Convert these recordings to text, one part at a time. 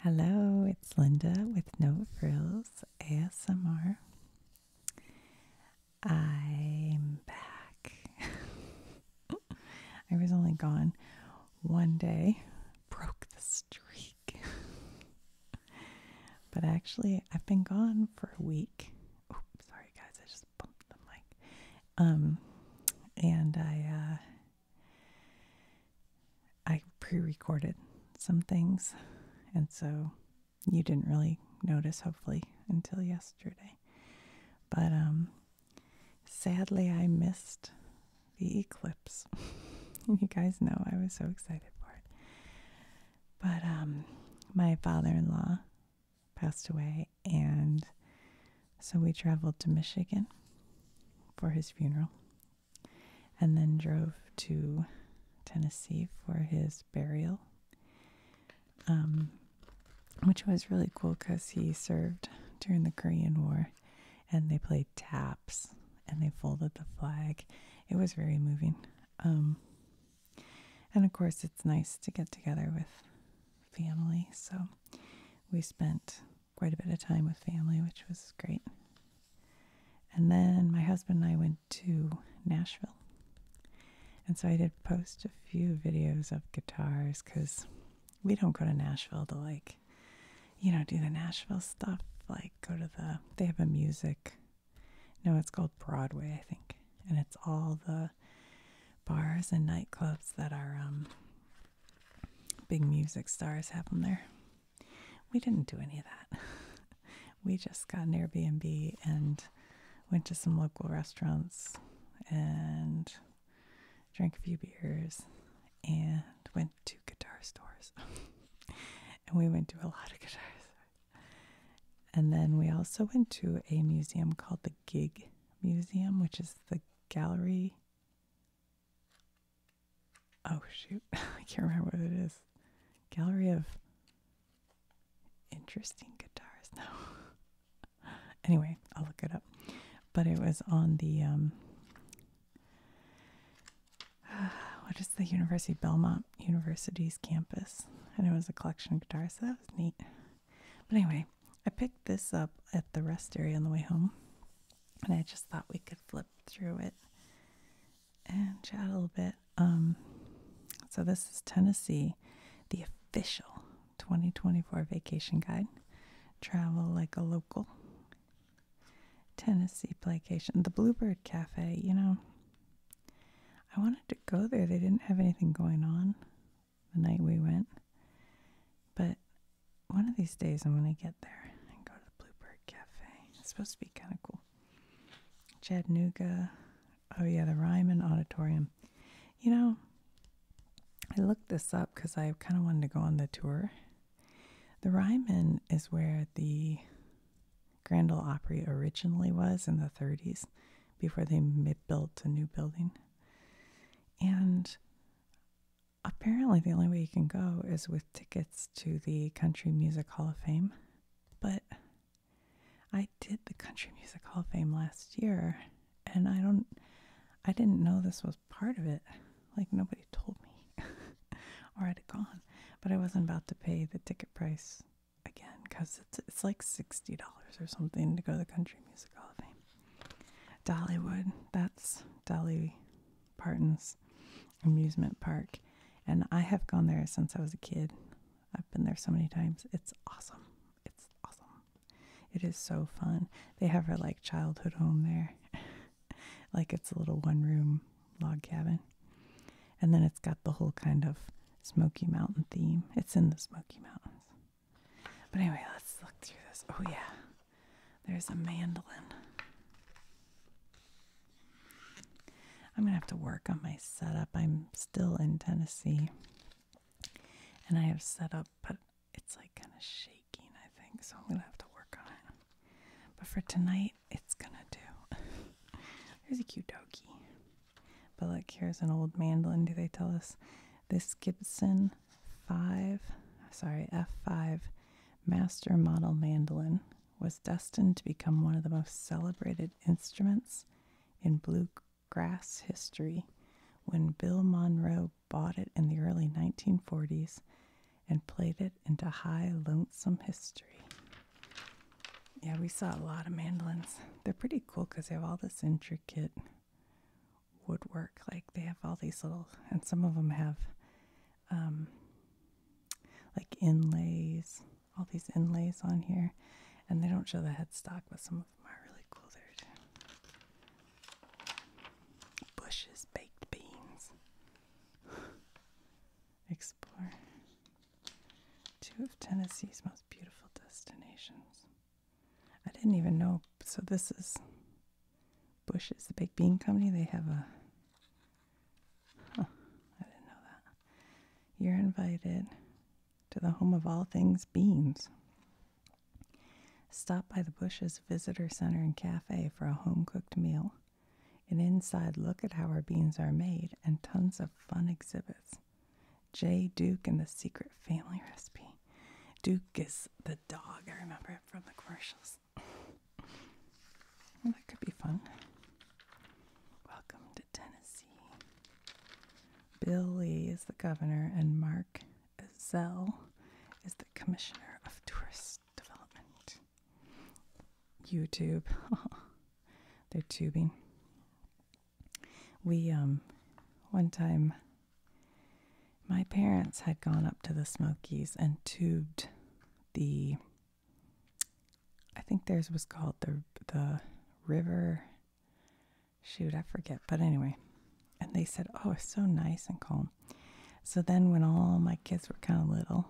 Hello, it's Linda with No Frills ASMR. I'm back. I was only gone one day, broke the streak. but actually, I've been gone for a week. sorry guys, I just bumped the mic. Um, and I uh, I pre recorded some things, and so you didn't really notice, hopefully, until yesterday. But um, sadly, I missed the eclipse. you guys know I was so excited for it. But um, my father in law passed away, and so we traveled to Michigan for his funeral and then drove to Tennessee for his burial, um, which was really cool because he served during the Korean War and they played taps and they folded the flag. It was very moving. Um, and of course, it's nice to get together with family. So we spent quite a bit of time with family, which was great. And then my husband and I went to Nashville. And so I did post a few videos of guitars because we don't go to Nashville to like, you know, do the Nashville stuff. Like, go to the, they have a music, no, it's called Broadway, I think. And it's all the bars and nightclubs that our um, big music stars have them there we didn't do any of that. we just got an Airbnb and went to some local restaurants and drank a few beers and went to guitar stores. and we went to a lot of guitars. And then we also went to a museum called the Gig Museum, which is the gallery Oh shoot, I can't remember what it is. Gallery of interesting guitars. No. anyway, I'll look it up. But it was on the um what is the University Belmont University's campus, and it was a collection of guitars. So that was neat. But anyway, I picked this up at the rest area on the way home and I just thought we could flip through it and chat a little bit. Um, so this is Tennessee, the official 2024 vacation guide. Travel like a local. Tennessee Playcation, the Bluebird Cafe. You know, I wanted to go there. They didn't have anything going on the night we went, but one of these days I'm gonna get there and go to the Bluebird Cafe. It's supposed to be kind of cool. Chattanooga. Oh yeah, the Ryman Auditorium. You know, I looked this up because I kind of wanted to go on the tour. The Ryman is where the Grand Ole Opry originally was in the 30s, before they built a new building. And apparently the only way you can go is with tickets to the Country Music Hall of Fame. But I did the Country Music Hall of Fame last year and I don't I didn't know this was part of it. Like nobody told me or I'd gone. But I wasn't about to pay the ticket price again because it's it's like sixty dollars or something to go to the Country Music Hall of Fame. Dollywood, that's Dolly Parton's amusement park. And I have gone there since I was a kid. I've been there so many times. It's awesome. It's awesome. It is so fun. They have her like childhood home there. like it's a little one room log cabin. And then it's got the whole kind of Smoky Mountain theme. It's in the Smoky Mountains. But anyway, let's look through this. Oh yeah. There's a mandolin. I'm gonna have to work on my setup. I'm still in Tennessee and I have set up, but it's like kind of shaking, I think, so I'm gonna have to work on it. But for tonight, it's gonna do. There's a cute dokie. But like here's an old mandolin. Do they tell us this Gibson 5? Sorry, F5 master model mandolin was destined to become one of the most celebrated instruments in bluegrass history when Bill Monroe bought it in the early 1940s and played it into high, lonesome history. Yeah, we saw a lot of mandolins. They're pretty cool because they have all this intricate woodwork. Like they have all these little, and some of them have um, like inlays, all these inlays on here. And they don't show the headstock, but some of them are really cool. There's bushes, baked beans. Explore two of Tennessee's most beautiful destinations. I didn't even know. So this is Bush's, the Big Bean Company, they have a. didn't know that. You're invited to the home of all things beans. Stop by the Bush's Visitor Center and Cafe for a home cooked meal, an inside look at how our beans are made, and tons of fun exhibits. Jay Duke and the Secret Family Recipe. Duke is the dog, I remember it from the commercials that could be fun. Welcome to Tennessee. Billy is the governor, and Mark Zell is the commissioner of tourist development. YouTube, they're tubing. We um, one time my parents had gone up to the Smokies and tubed the I think theirs was called the the river shoot, I forget, but anyway. And they said, "Oh, it's so nice and calm." So then when all my kids were kind of little,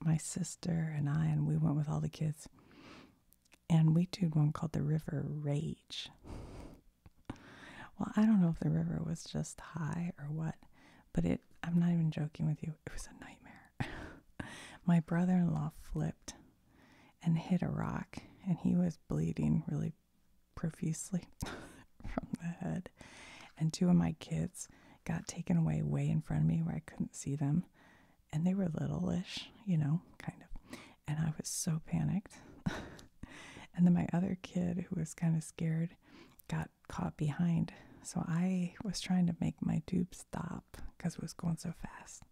my sister and I and we went with all the kids and we did one called the River Rage. well, I don't know if the river was just high or what, but it, I'm not even joking with you, it was a nightmare. My brother in law flipped and hit a rock, and he was bleeding really profusely from the head. And two of my kids got taken away way in front of me where I couldn't see them. And they were little-ish, you know, kind of. And I was so panicked. and then my other kid, who was kind of scared, got caught behind. So I was trying to make my tube stop because it was going so fast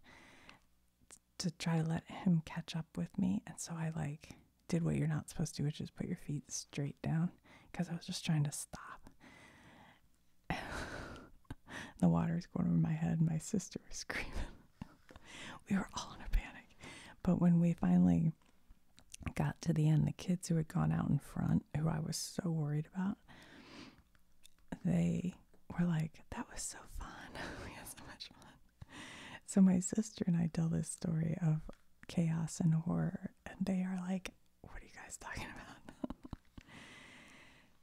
to try to let him catch up with me. And so I like did what you're not supposed to, which is put your feet straight down because I was just trying to stop. the water is going over my head. My sister was screaming. we were all in a panic. But when we finally got to the end, the kids who had gone out in front, who I was so worried about, they were like, That was so fun. we had so much fun. So my sister and I tell this story of chaos and horror, and they are like, What are you guys talking about?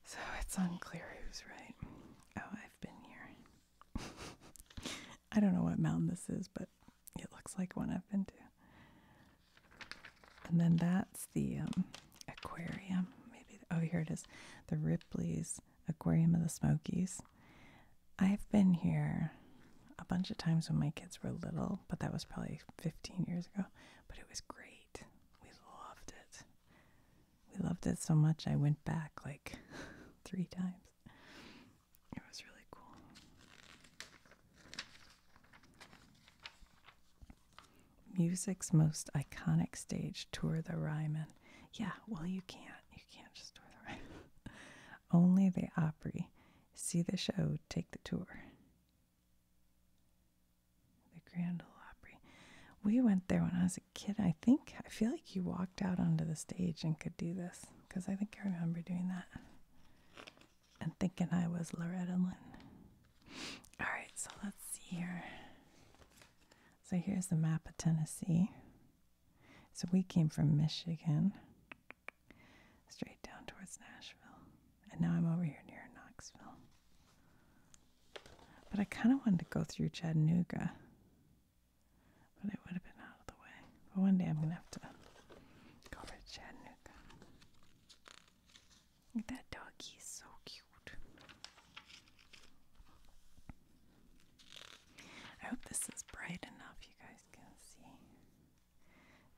so it's unclear who's right. Oh, I've been here. I don't know what mountain this is, but it looks like one I've been to. And then that's the um, aquarium. Maybe oh here it is, the Ripley's Aquarium of the Smokies. I've been here a bunch of times when my kids were little, but that was probably 15 years ago. But it was great. We loved it. We loved it so much I went back like three times. It was really cool. Music's most iconic stage tour the Ryman. Yeah, well you can't. You can't just tour the Ryman. Only the Opry. See the show, take the tour. The Grand Ole Opry. We went there when I was a kid. I think I feel like you walked out onto the stage and could do this because I think I remember doing that and thinking I was Loretta Lynn. All right, so let's see here. So here's the map of Tennessee. So we came from Michigan straight down towards Nashville. And now I'm over here near Knoxville. But I kind of wanted to go through Chattanooga, but it would have been out of the way. But one day I'm gonna have to cover Chattanooga. Look at that doggy, so cute. I hope this is bright enough you guys can see.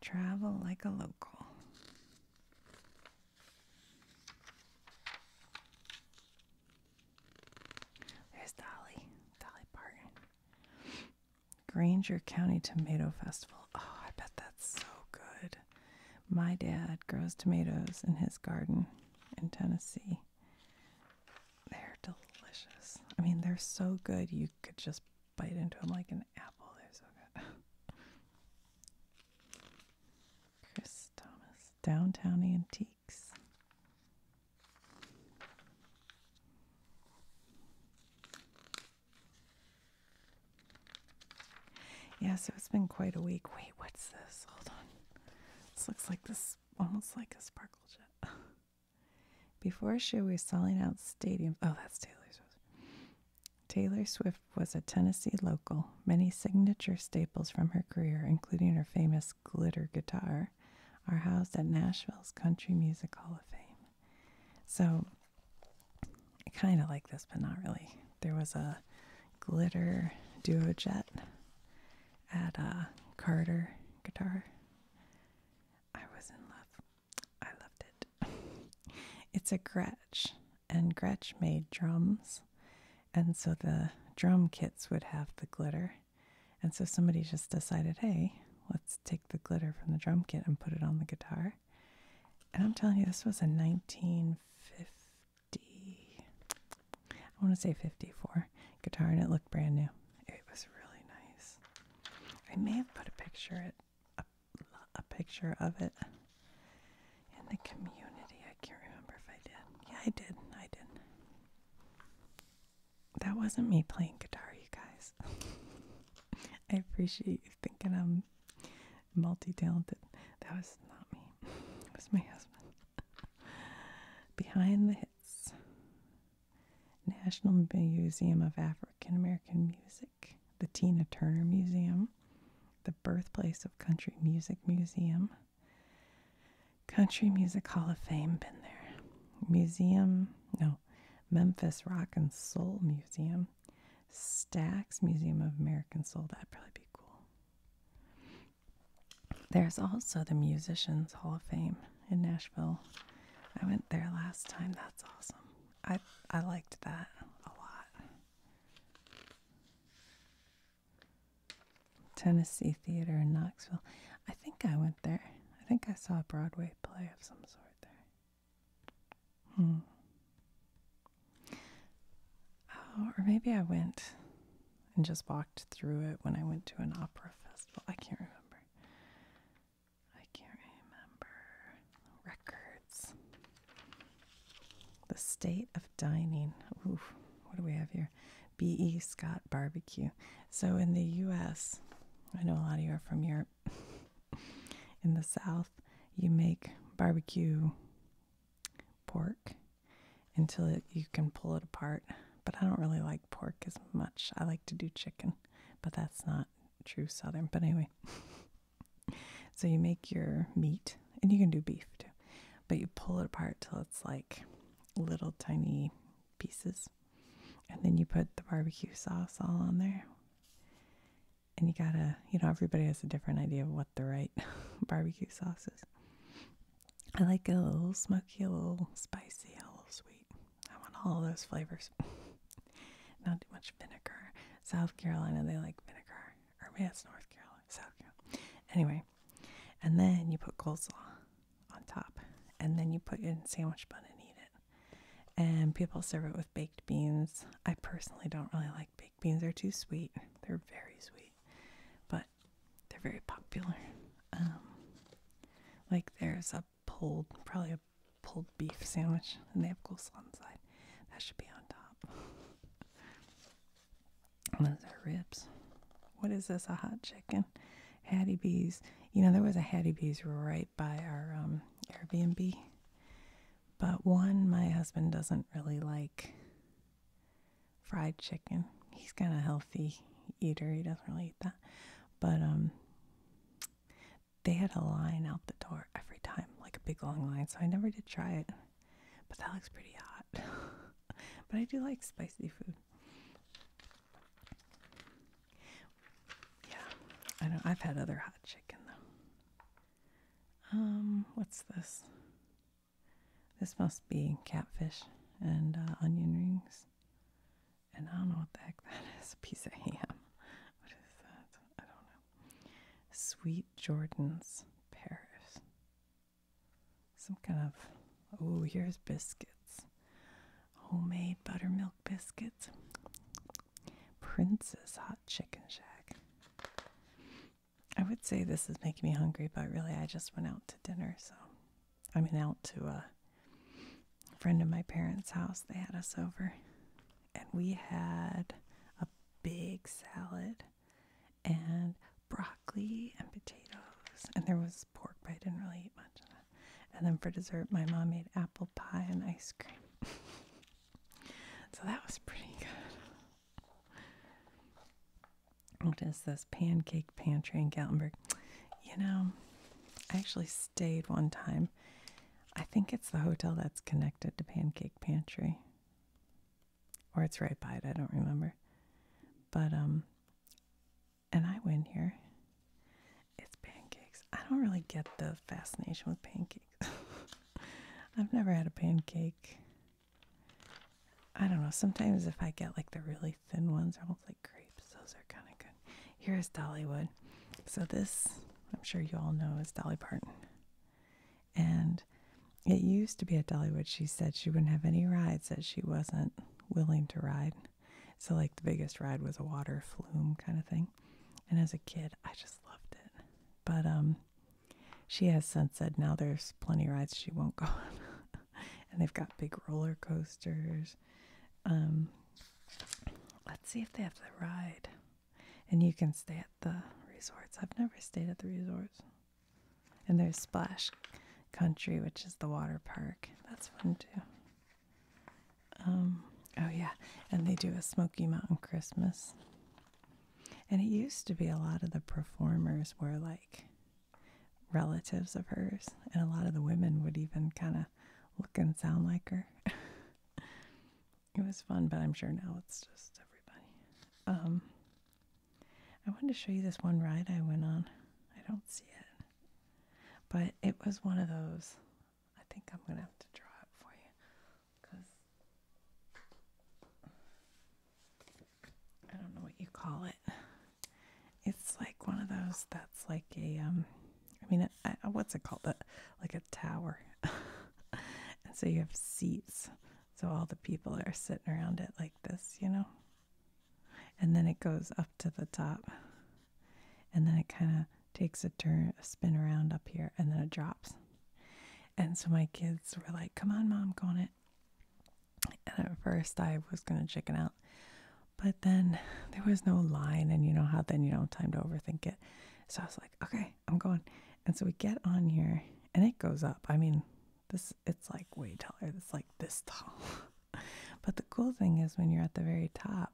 Travel like a local. There's Dolly, Dolly Parton. Granger County Tomato Festival. Oh, I bet that's so good. My dad grows tomatoes in his garden in Tennessee. They're delicious. I mean, they're so good you could just bite into them like an apple. They're so good. Chris Thomas, Downtown Antiques. Yeah, so it's been quite a week. Wait, what's this? Hold on. This looks like this, almost like a sparkle jet. Before a show, we were selling out stadiums. Oh, that's Taylor Swift. Taylor Swift was a Tennessee local. Many signature staples from her career, including her famous glitter guitar, are housed at Nashville's Country Music Hall of Fame. So I kind of like this, but not really. There was a glitter duo jet at a uh, Carter Guitar. I was in love. I loved it. it's a Gretsch, and Gretsch made drums, and so the drum kits would have the glitter. And so somebody just decided, hey, let's take the glitter from the drum kit and put it on the guitar. And I'm telling you, this was a 1950, I want to say 54 guitar, and it looked brand new. It was really nice. I may have put a picture a picture of it in the community. I can't remember if I did. Yeah, I did. I did that wasn't me playing guitar, you guys. I appreciate you thinking I'm multi talented. That was not me, it was my husband. Behind the Hits National Museum of African American Music, the Tina Turner Museum, the Birthplace of Country Music Museum. Country Music Hall of Fame, been there. Museum, no, Memphis Rock and Soul Museum, Stax Museum of American Soul. That'd probably be cool. There's also the Musicians Hall of Fame in Nashville. I went there last time. That's awesome. I I liked that a lot. Tennessee Theater in Knoxville. I think I went there. I think I saw a Broadway play of some sort. Hmm. Oh, or maybe I went and just walked through it when I went to an opera festival. I can't remember. I can't remember. Records. The state of dining. what do we have here? B.E. Scott Barbecue. So in the U.S., I know a lot of you are from Europe, in the South, you make barbecue pork until you can pull it apart. But I don't really like pork as much. I like to do chicken, but that's not true Southern. But anyway, so you make your meat, and you can do beef too, but you pull it apart till it's like little tiny pieces. And then you put the barbecue sauce all on there. And you gotta, you know, everybody has a different idea of what the right barbecue sauce is. I like a little smoky, a little spicy, a little sweet. I want all those flavors. Not too much vinegar. South Carolina, they like vinegar. Or maybe it's North Carolina, South Carolina. Anyway, and then you put coleslaw on top. And then you put it in sandwich bun and eat it and people serve it with baked beans. I personally don't really like baked beans, they're too sweet. They're very sweet, but they're very popular. Um, like there's a pulled, probably a pulled beef sandwich, and they have coleslaw on side. That should be on top. those are ribs. What is this? A hot chicken? Hattie B's. You know, there was a Hattie B's right by our um, Airbnb. But one, my husband doesn't really like fried chicken. He's kind of healthy eater. He doesn't really eat that. But um, they had a line out the door every time, like a big long line. So I never did try it. But that looks pretty hot. but I do like spicy food. Yeah, I know I've had other hot chicken though. Um, what's this? This must be catfish and uh, onion rings. And I don't know what the heck that is. A piece of ham. What is that? I don't know. Sweet Jordan's Paris. Some kind of. Oh, here's biscuits homemade buttermilk biscuits, Princess Hot Chicken Shack. I would say this is making me hungry, but really I just went out to dinner. So, I mean, out to a friend of my parents' house. They had us over, and we had a big salad and broccoli and potatoes. And there was pork, but I didn't really eat much of that. And then for dessert, my mom made apple pie and ice cream. so that was pretty good. What is this? Pancake Pantry in Gatlinburg. You know, I actually stayed one time. I think it's the hotel that's connected to Pancake Pantry. Or it's right by it, I don't remember. But um and I win here. It's pancakes. I don't really get the fascination with pancakes. I've never had a pancake. I don't know. Sometimes if I get like the really thin ones, almost like crepes. Those are kind of good. Here is Dollywood. So this, I'm sure you all know, is Dolly Parton. And it used to be at Dollywood. She said she wouldn't have any rides that she wasn't willing to ride. So, like, the biggest ride was a water flume kind of thing. And as a kid, I just loved it. But um, she has since said now there's plenty rides she won't go on. and they've got big roller coasters. Um, let's see if they have the ride. And you can stay at the resorts. I've never stayed at the resorts. And there's Splash Country, which is the water park. That's fun too. Um, oh, yeah. And they do a Smoky Mountain Christmas. And it used to be a lot of the performers were like relatives of hers. And a lot of the women would even kind of look and sound like her. it was fun, but I'm sure now it's just everybody. Um, I wanted to show you this one ride I went on. I don't see it. But it was one of those. I think I'm going to have to draw it for you because I don't know what you call it. It's like one of those that's like a, um, I mean, uh, what's it called? A, like a tower. and so you have seats. So all the people are sitting around it like this, you know? And then it goes up to the top and then it kind of takes a turn, a spin around up here, and then it drops. And so my kids were like, "Come on, mom, go on it." And at first, I was gonna chicken out, but then there was no line, and you know how then you don't have time to overthink it. So I was like, "Okay, I'm going." And so we get on here, and it goes up. I mean, this it's like way taller. It's like this tall. but the cool thing is when you're at the very top,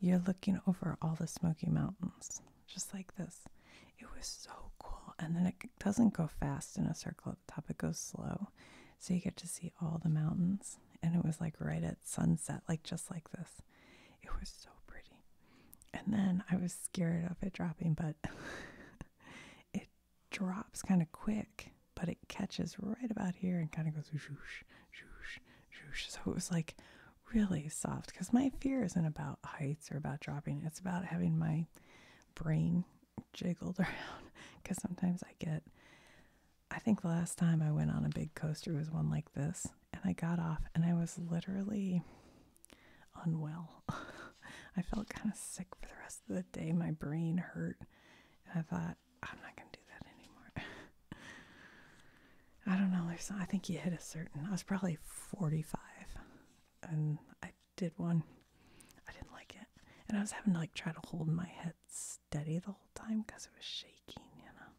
you're looking over all the Smoky Mountains, just like this. It was so cool. And then it doesn't go fast in a circle at the top, it goes slow. So you get to see all the mountains. And it was like right at sunset, like just like this. It was so pretty. And then I was scared of it dropping, but it drops kind of quick but it catches right about here and kind of goes whoosh, whoosh, whoosh. So it was like really soft because my fear isn't about heights or about dropping, it's about having my brain jiggled around because sometimes I get. I think the last time I went on a big coaster was one like this, and I got off and I was literally unwell. I felt kind of sick for the rest of the day. My brain hurt. And I thought, I'm not gonna do that anymore. I don't know. There's I think you hit a certain. I was probably 45, and I did one. I didn't like it, and I was having to like try to hold my head steady the whole time because it was shaking. You know.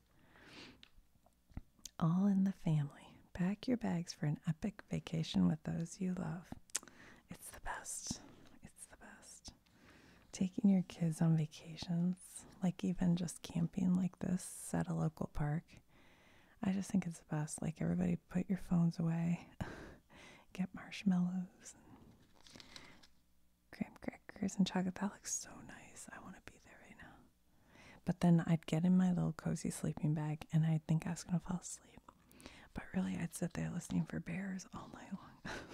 All in the family. Pack your bags for an epic vacation with those you love. It's the best. It's the best taking your kids on vacations, like even just camping like this at a local park. I just think it's the best. Like everybody put your phones away, get marshmallows and graham crackers and chocolate. That looks so nice. I want to be there right now. But then I'd get in my little cozy sleeping bag and I'd think I was going to fall asleep. But really, I'd sit there listening for bears all night long.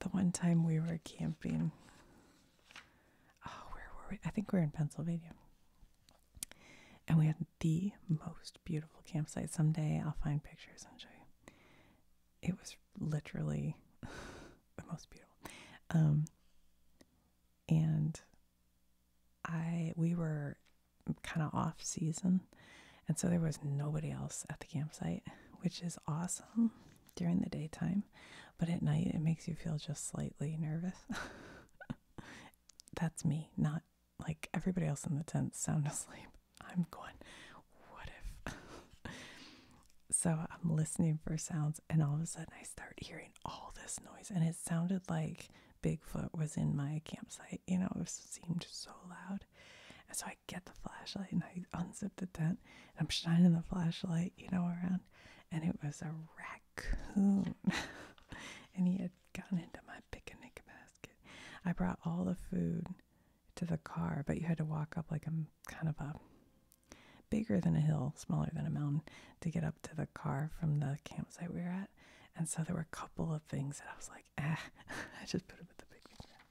the one time we were camping, oh, where were we? I think we are in Pennsylvania. And we had the most beautiful campsite. Someday I'll find pictures and show you. It was literally the most beautiful. Um, and I we were kind of off season and so there was nobody else at the campsite, which is awesome during the daytime. But at night, it makes you feel just slightly nervous. That's me, not like everybody else in the tent sound asleep. I'm going, what if? so I'm listening for sounds, and all of a sudden I start hearing all this noise, and it sounded like Bigfoot was in my campsite. You know, it seemed so loud. And so I get the flashlight and I unzip the tent and I'm shining the flashlight, you know, around and it was a raccoon. and he had gotten into my picnic basket. I brought all the food to the car, but you had to walk up like a kind of a bigger than a hill, smaller than a mountain to get up to the car from the campsite we were at. And so there were a couple of things that I was like, ah, I just put them in the picnic basket.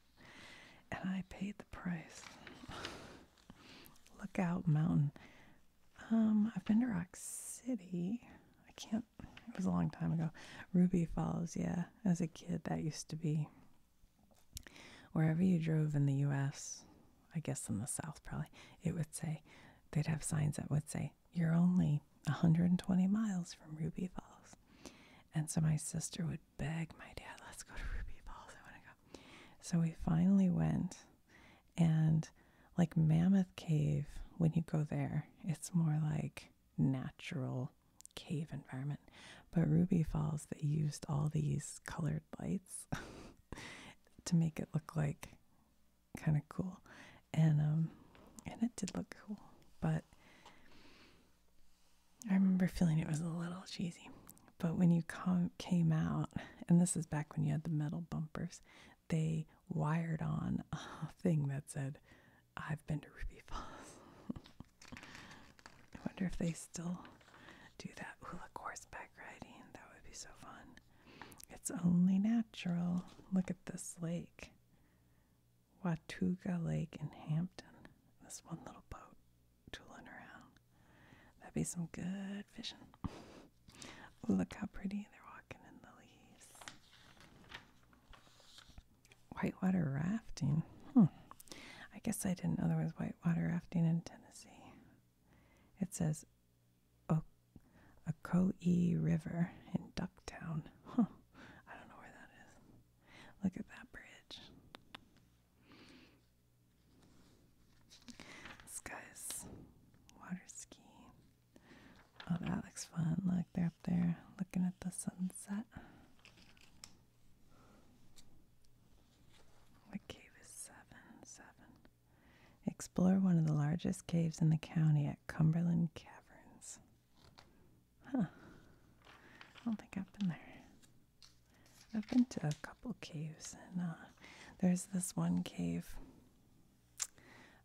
And I paid the price. Lookout Mountain. Um, I've been to Rock City. I can't, it was a long time ago. Ruby Falls, yeah. As a kid, that used to be wherever you drove in the US, I guess in the South probably, it would say, they'd have signs that would say, you're only 120 miles from Ruby Falls. And so my sister would beg my dad, let's go to Ruby Falls. I want to go. So we finally went, and like Mammoth Cave, when you go there, it's more like natural cave environment. But Ruby Falls, they used all these colored lights to make it look like kind of cool. And um and it did look cool, but I remember feeling it was a little cheesy, but when you came out, and this is back when you had the metal bumpers, they wired on a thing that said, I've been to Ruby Falls. I wonder if they still do that. Ooh, horseback riding. That would be so fun. It's only natural. Look at this lake. Watuga Lake in Hampton. This one little boat tooling around. That'd be some good fishing. Look how pretty they're walking in the leaves. Whitewater rafting. Hmm. I guess I didn't know there was whitewater rafting in Tennessee. It says o- Ocoee River in Ducktown. Huh. I don't know where that is. Look at that bridge. This guy's water Oh, that looks fun. Look, they're up there looking at the sunset. What cave is seven? Seven. Explore one of the largest caves in the county at Cumberland Caverns. Huh. I don't think I've been there. I've been to a couple caves, and uh, there's this one cave.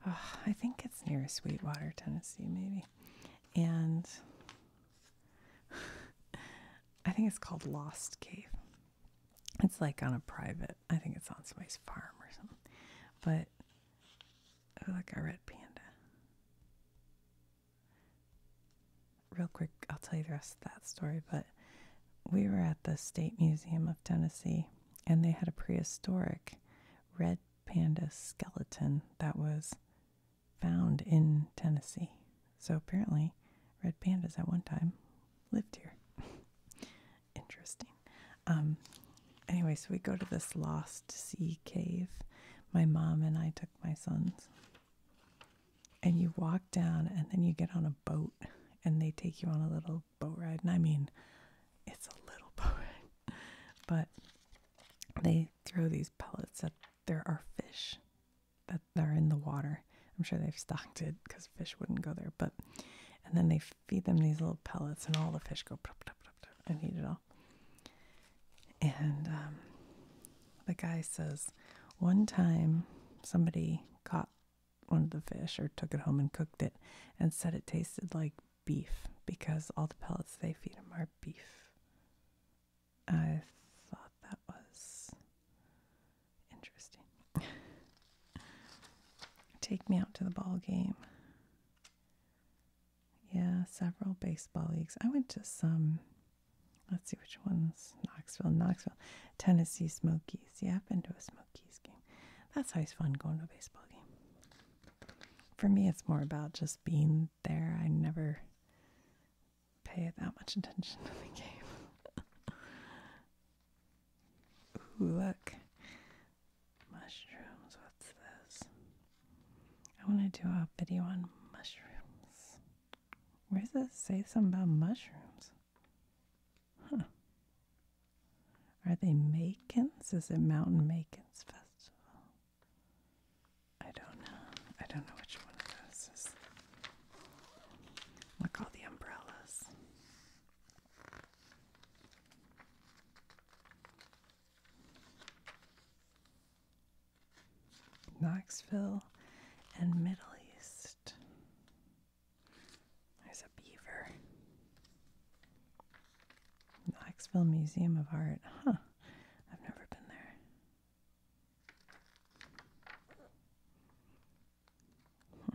Ah, I think it's near Sweetwater, Tennessee, maybe. And I think it's called Lost Cave. It's like on a private, I think it's on somebody's farm or something. But, oh, look, a red panda real quick, I'll tell you the rest of that story, but we were at the State Museum of Tennessee and they had a prehistoric red panda skeleton that was found in Tennessee. So apparently, red pandas at one time lived here. Interesting. Um, anyway, so we go to this lost sea cave. My mom and I took my sons. And you walk down and then you get on a boat and they take you on a little boat ride. And I mean, it's a little boat But they throw these pellets that there are fish that are in the water. I'm sure they've stocked it because fish wouldn't go there. But and then they feed them these little pellets, and all the fish go. I need it all. And um, the guy says, one time somebody caught one of the fish or took it home and cooked it and said it tasted like beef because all the pellets they feed them are beef. I thought that was interesting. Take me out to the ball game. Yeah, several baseball leagues. I went to some, let's see which ones Knoxville, Knoxville, Tennessee Smokies. Yeah, I've been to a Smokies game. That's always fun going to a baseball game. For me, it's more about just being there. I never pay that much attention to the game. Ooh, look. Mushrooms, what's this? I want to do a video on mushrooms. Where does it say something about mushrooms? Are they Macons? Is it Mountain Macons Festival? I don't know. I don't know which one of those is. Look, all the umbrellas. Knoxville, and Middle East. There's a beaver. Knoxville Museum of Art. Huh. I've never been there.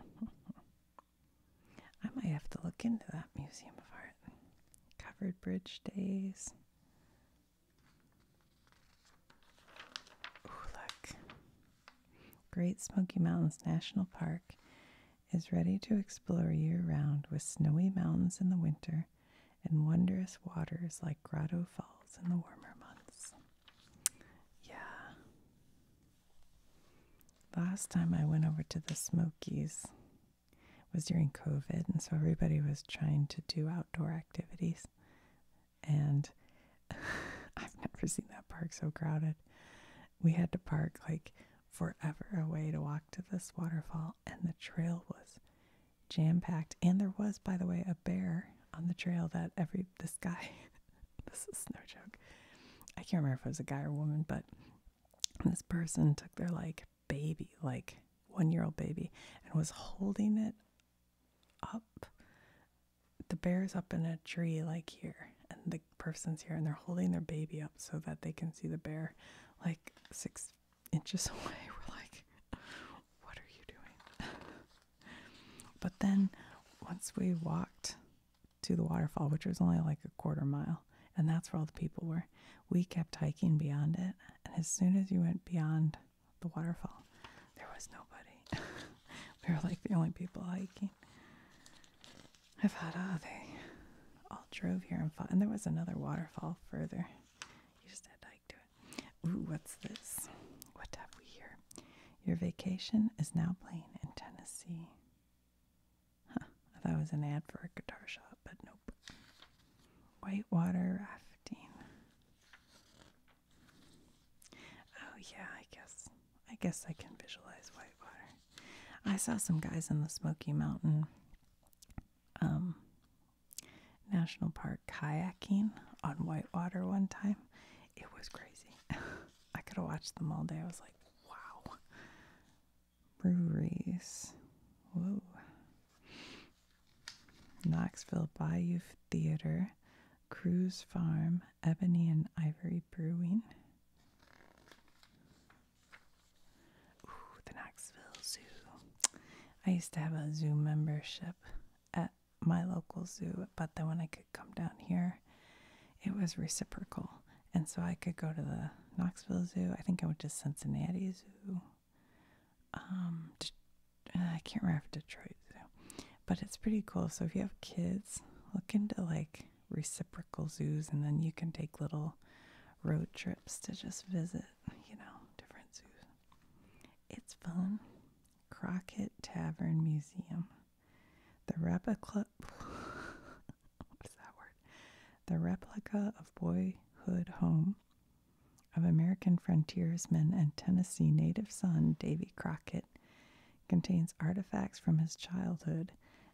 I might have to look into that Museum of Art. Covered bridge days. Great Smoky Mountains National Park is ready to explore year round with snowy mountains in the winter and wondrous waters like Grotto Falls in the warmer months. Yeah. Last time I went over to the Smokies, was during COVID, and so everybody was trying to do outdoor activities. And I've never seen that park so crowded. We had to park like forever away to walk to this waterfall, and the trail was jam packed. And there was, by the way, a bear on the trail that every this guy, this is no joke. I can't remember if it was a guy or woman, but this person took their like baby, like one year old baby, and was holding it up. The bear's up in a tree, like here, and the person's here, and they're holding their baby up so that they can see the bear, like six inches away. We're like, what are you doing? but then once we walked to the waterfall, which was only like a quarter mile, and that's where all the people were, we kept hiking beyond it and as soon as you went beyond the waterfall, there was nobody. we were like the only people hiking. I thought, oh, they all drove here and fought. And there was another waterfall further. You just had to hike to it. Ooh, what's this? What have we here? Your vacation is now playing in Tennessee. I thought it was an ad for a guitar shop, but nope. Whitewater Raft fifteen. Oh yeah, I guess. I guess I can visualize whitewater. I saw some guys in the Smoky Mountain um, National Park kayaking on whitewater one time. It was crazy. I could have watched them all day. I was like, wow. Breweries. Whoa. Knoxville Bayou Theater, Cruise Farm, Ebony and Ivory Brewing. the Knoxville Zoo. I used to have a zoo membership at my local zoo, but then when I could come down here, it was reciprocal. And so I could go to the Knoxville Zoo. I think it was just Cincinnati Zoo. Um, uh, I can't remember if Detroit, so. but it's pretty cool. So if you have kids, look into like reciprocal zoos, and then you can take little road trips to just visit, you know, different zoos. It's fun. Crockett Tavern Museum, the replica. what is that word? The replica of Boyhood Home of American frontiersman and Tennessee native son Davy Crockett contains artifacts from his childhood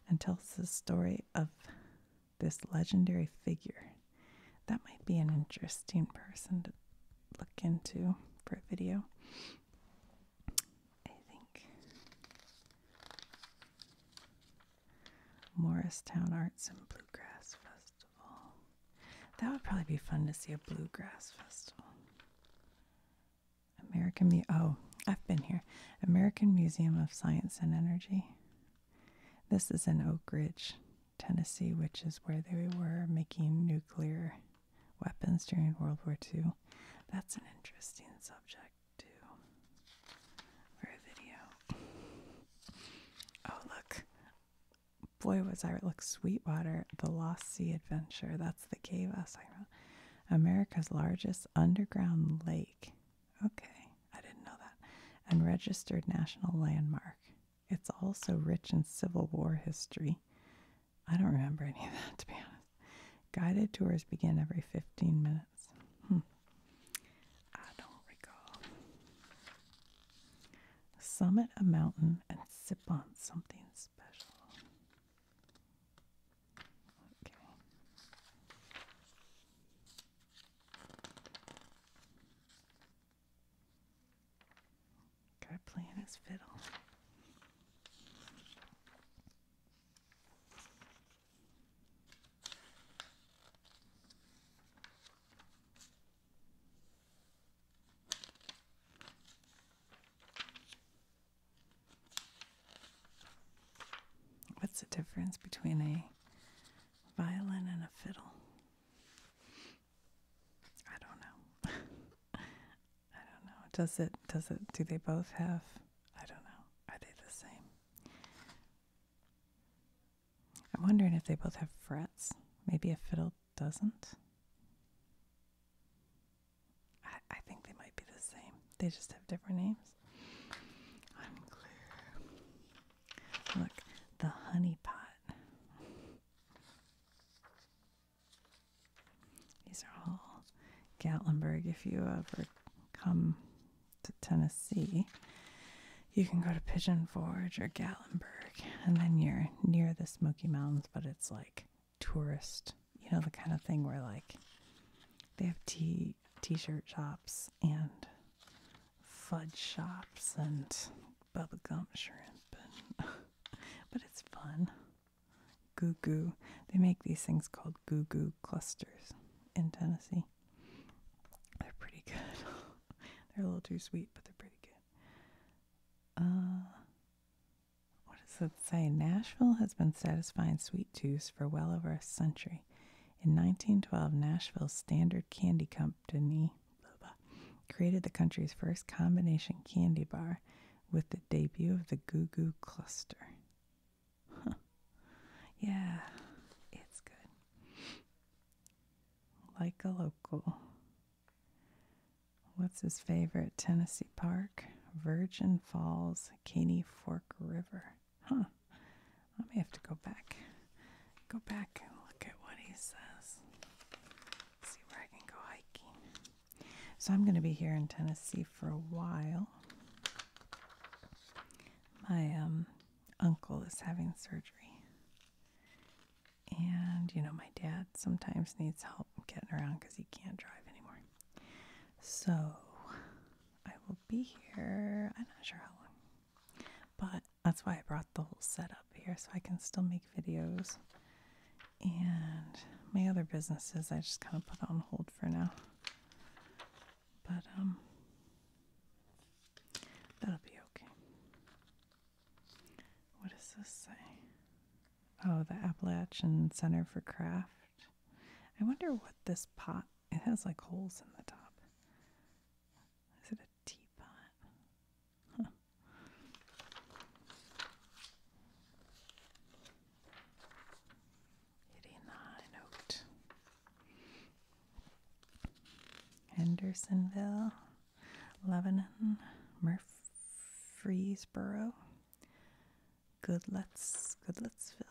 and tells the story of this legendary figure. That might be an interesting person to look into for a video. I think. Morristown Arts and Bluegrass Festival. That would probably be fun to see a bluegrass festival. American Museum. Oh, I've been here. American Museum of Science and Energy. This is in Oak Ridge, Tennessee, which is where they were making nuclear weapons during World War II. That's an interesting subject too for a video. Oh, look. Boy, was I. Look, Sweetwater, The Lost Sea Adventure. That's the cave us. America's largest underground lake. Okay, I didn't know that. And registered national landmark. It's also rich in Civil War history. I don't remember any of that, to be honest. Guided tours begin every 15 minutes. Hmm. I don't recall. Summit a mountain and sip on something special. Okay. Guy playing his fiddle. What's the difference between a violin and a fiddle? I don't know. I don't know. Does it does it do they both have I don't know. Are they the same? I'm wondering if they both have frets. Maybe a fiddle doesn't. I, I think they might be the same. They just have different names. Unclear. Look, the honey pot. These are all Gatlinburg if you ever come to Tennessee, you can go to Pigeon Forge or Gatlinburg, and then you're near the Smoky Mountains, but it's like tourist, you know, the kind of thing where like they have t t-shirt shops and fudge shops and bubblegum shrimp, and but it's fun. Goo goo. They make these things called goo goo clusters in Tennessee. They're pretty good. they're a little too sweet, but they're pretty good. Uh, what does it say? Nashville has been satisfying sweet tooths for well over a century. In 1912, Nashville Standard Candy Company created the country's first combination candy bar with the debut of the Goo Goo Cluster. Yeah, it's good like a local. What's his favorite Tennessee park? Virgin Falls, Caney Fork River. Huh. I may have to go back. Go back and look at what he says. See where I can go hiking. So I'm going to be here in Tennessee for a while. I am. Um, uncle is having surgery. And, you know, my dad sometimes needs help getting around because he can't drive anymore. So I will be here, I'm not sure how long. But that's why I brought the whole setup here so I can still make videos. And my other businesses I just kind of put on hold for now. But, um, that'll be okay. What does this say? Oh, the Appalachian Center for Craft. I wonder what this pot, it has like holes in the top. Is it a teapot? Huh. the note. Oh. Hendersonville, Lebanon, Murfreesboro, Goodletts, Goodlettsville.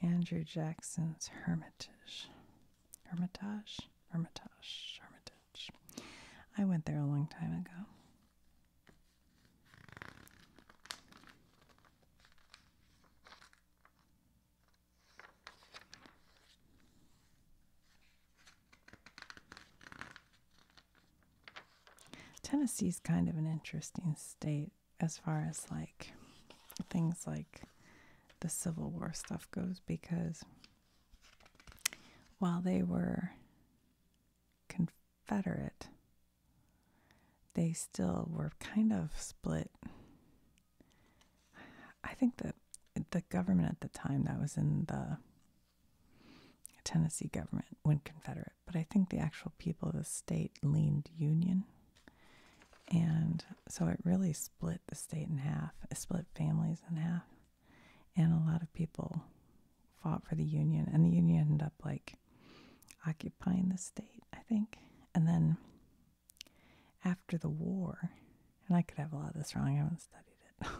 Andrew Jackson's Hermitage. Hermitage? Hermitage. Hermitage. I went there a long time ago. Tennessee's kind of an interesting state as far as like things like the Civil War stuff goes because while they were Confederate, they still were kind of split. I think that the government at the time that was in the Tennessee government went Confederate, but I think the actual people of the state leaned Union. And so it really split the state in half, it split families in half. And a lot of people fought for the Union, and the Union ended up like occupying the state. I think. And then after the war, and I could have a lot of this wrong, I haven't studied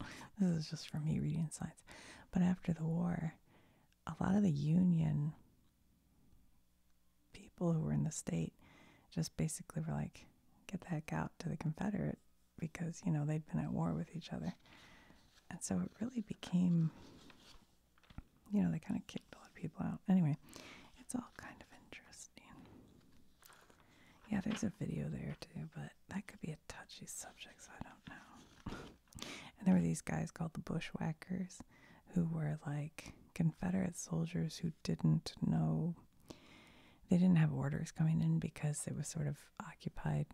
it. this is just for me reading science. But after the war, a lot of the Union people who were in the state just basically were like, get the heck out to the Confederate because, you know, they'd been at war with each other. And so it really became you know, they kind of kicked a lot of people out. Anyway, it's all kind of interesting. Yeah, there's a video there too, but that could be a touchy subject, so I don't know. and there were these guys called the Bushwhackers who were like Confederate soldiers who didn't know, they didn't have orders coming in because it was sort of occupied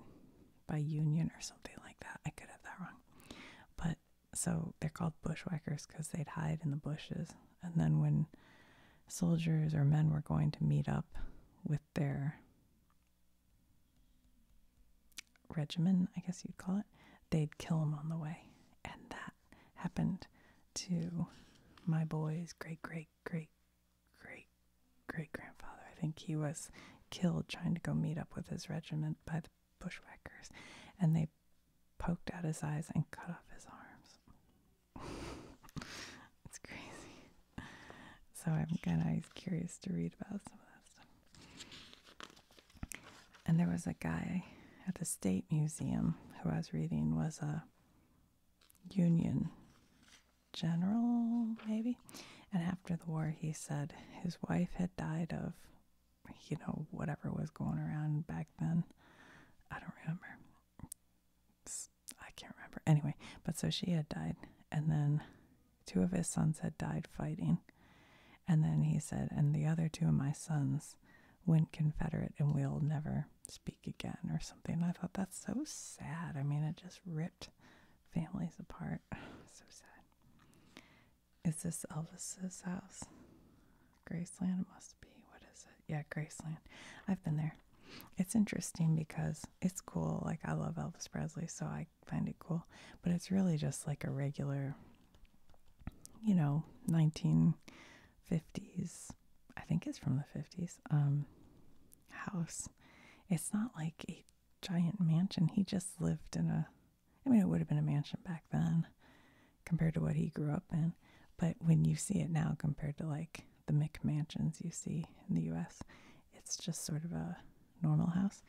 by Union or something like that. I could have that wrong. But so they're called bushwhackers because they'd hide in the bushes. And then when soldiers or men were going to meet up with their regiment, I guess you'd call it, they'd kill them on the way. And that happened to my boy's great, great, great, great, great grandfather. I think he was killed trying to go meet up with his regiment by the bushwhackers, and they poked out his eyes and cut off his arms. it's crazy. So I'm kind of curious to read about some of that stuff. And there was a guy at the State Museum who I was reading was a Union general, maybe. And after the war, he said his wife had died of you know, whatever was going around back then. I don't remember. I can't remember. Anyway, but so she had died, and then two of his sons had died fighting. And then he said, and the other two of my sons went Confederate and we'll never speak again or something. I thought that's so sad. I mean, it just ripped families apart. so sad. Is this Elvis's house? Graceland must be. What is it? Yeah, Graceland. I've been there. It's interesting because it's cool. Like, I love Elvis Presley, so I find it cool. But it's really just like a regular, you know, 1950s, I think it's from the 50s, um, house. It's not like a giant mansion. He just lived in a I mean, it would have been a mansion back then compared to what he grew up in. But when you see it now compared to like the Mick mansions you see in the US, it's just sort of a normal house.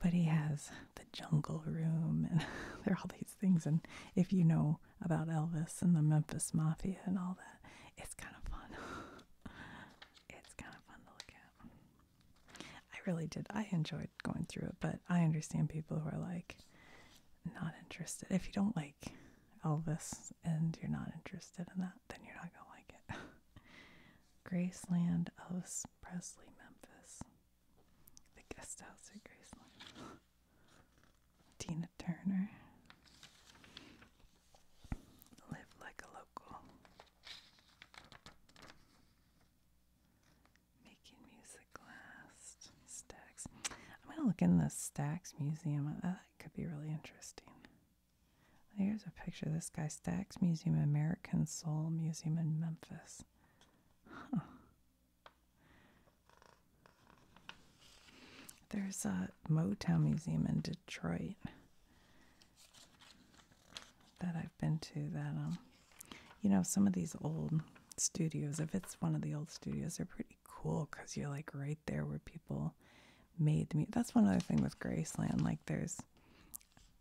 But he has the jungle room and there are all these things. And if you know about Elvis and the Memphis Mafia and all that, it's kind of fun. it's kind of fun to look at. I really did. I enjoyed going through it, but I understand people who are like not interested. If you don't like Elvis and you're not interested in that, then you're not gonna like it. Graceland, Elvis Presley, Memphis. The guest house at Graceland. Tina Turner. Live like a local. Making music last. Stax. I'm going to look in the Stax Museum. Uh, that could be really interesting. There's a picture of this guy, Stax Museum, American Soul Museum in Memphis. There's a Motown Museum in Detroit that I've been to that um you know, some of these old studios, if it's one of the old studios, they're pretty cool because you're like right there where people made the That's one other thing with Graceland. Like, there's,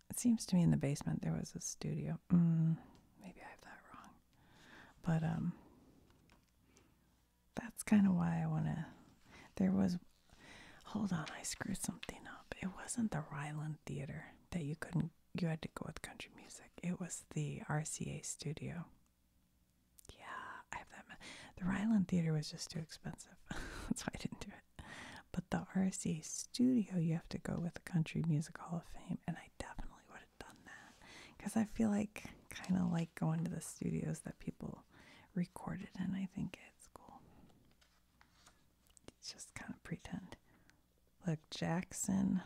it seems to me in the basement there was a studio. Mm, maybe I have that wrong. But, um, that's kind of why I want to. There was, hold on, I screwed something up. It wasn't the Ryland Theater that you couldn't you had to go with country music. It was the RCA studio. Yeah, I have that. The Ryland Theater was just too expensive. That's why I didn't do it. But the RCA studio, you have to go with the Country Music Hall of Fame. And I definitely would have done that. Because I feel like, kind of like going to the studios that people recorded and I think it's cool just kind of pretend. Look, Jackson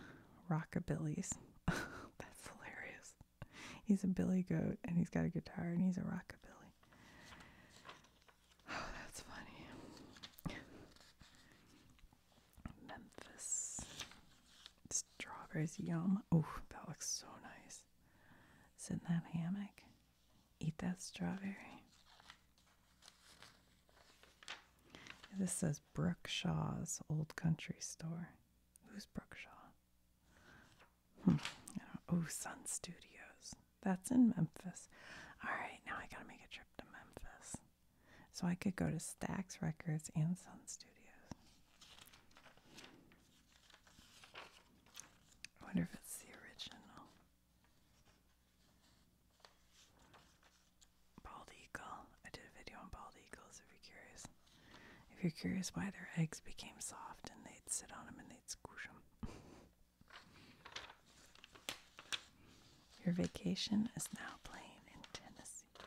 Rockabilly's. That's hilarious. He's a billy goat and he's got a guitar and he's a rockabilly. Oh, that's funny. Memphis. Strawberries, yum. Oh, that looks so nice. Sit in that hammock. Eat that strawberry. This says Brookshaw's Old Country Store. Who's Brookshaw? Hmm, oh, Sun Studios. That's in Memphis. All right, now I gotta make a trip to Memphis. So I could go to Stax Records and Sun Studios. I wonder if it's the original. Bald eagle. I did a video on bald eagles if you're curious. If you're curious why their eggs became soft and they'd sit on them and they'd squish them. Your vacation is now playing in Tennessee.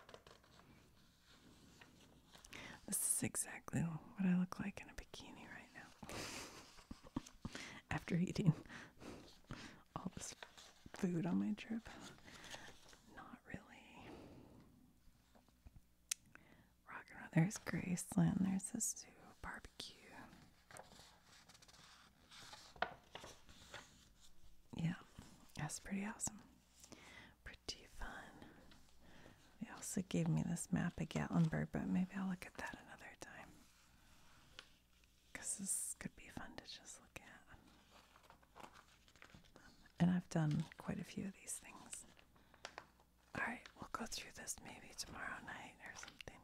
This is exactly what I look like in a bikini right now. After eating all this food on my trip. Not really. Rock and There's Graceland. There's the zoo barbecue. Yeah, that's pretty awesome. Pretty fun. They also gave me this map of Gatlinburg, but maybe I'll look at that another time because this could be fun to just look at. And I've done quite a few of these things. All right, we'll go through this maybe tomorrow night or something.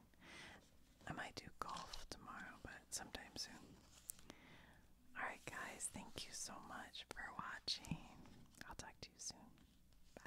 I might do golf tomorrow, but sometime soon. All right, guys, thank you so much for watching. I'll talk to you soon. Bye.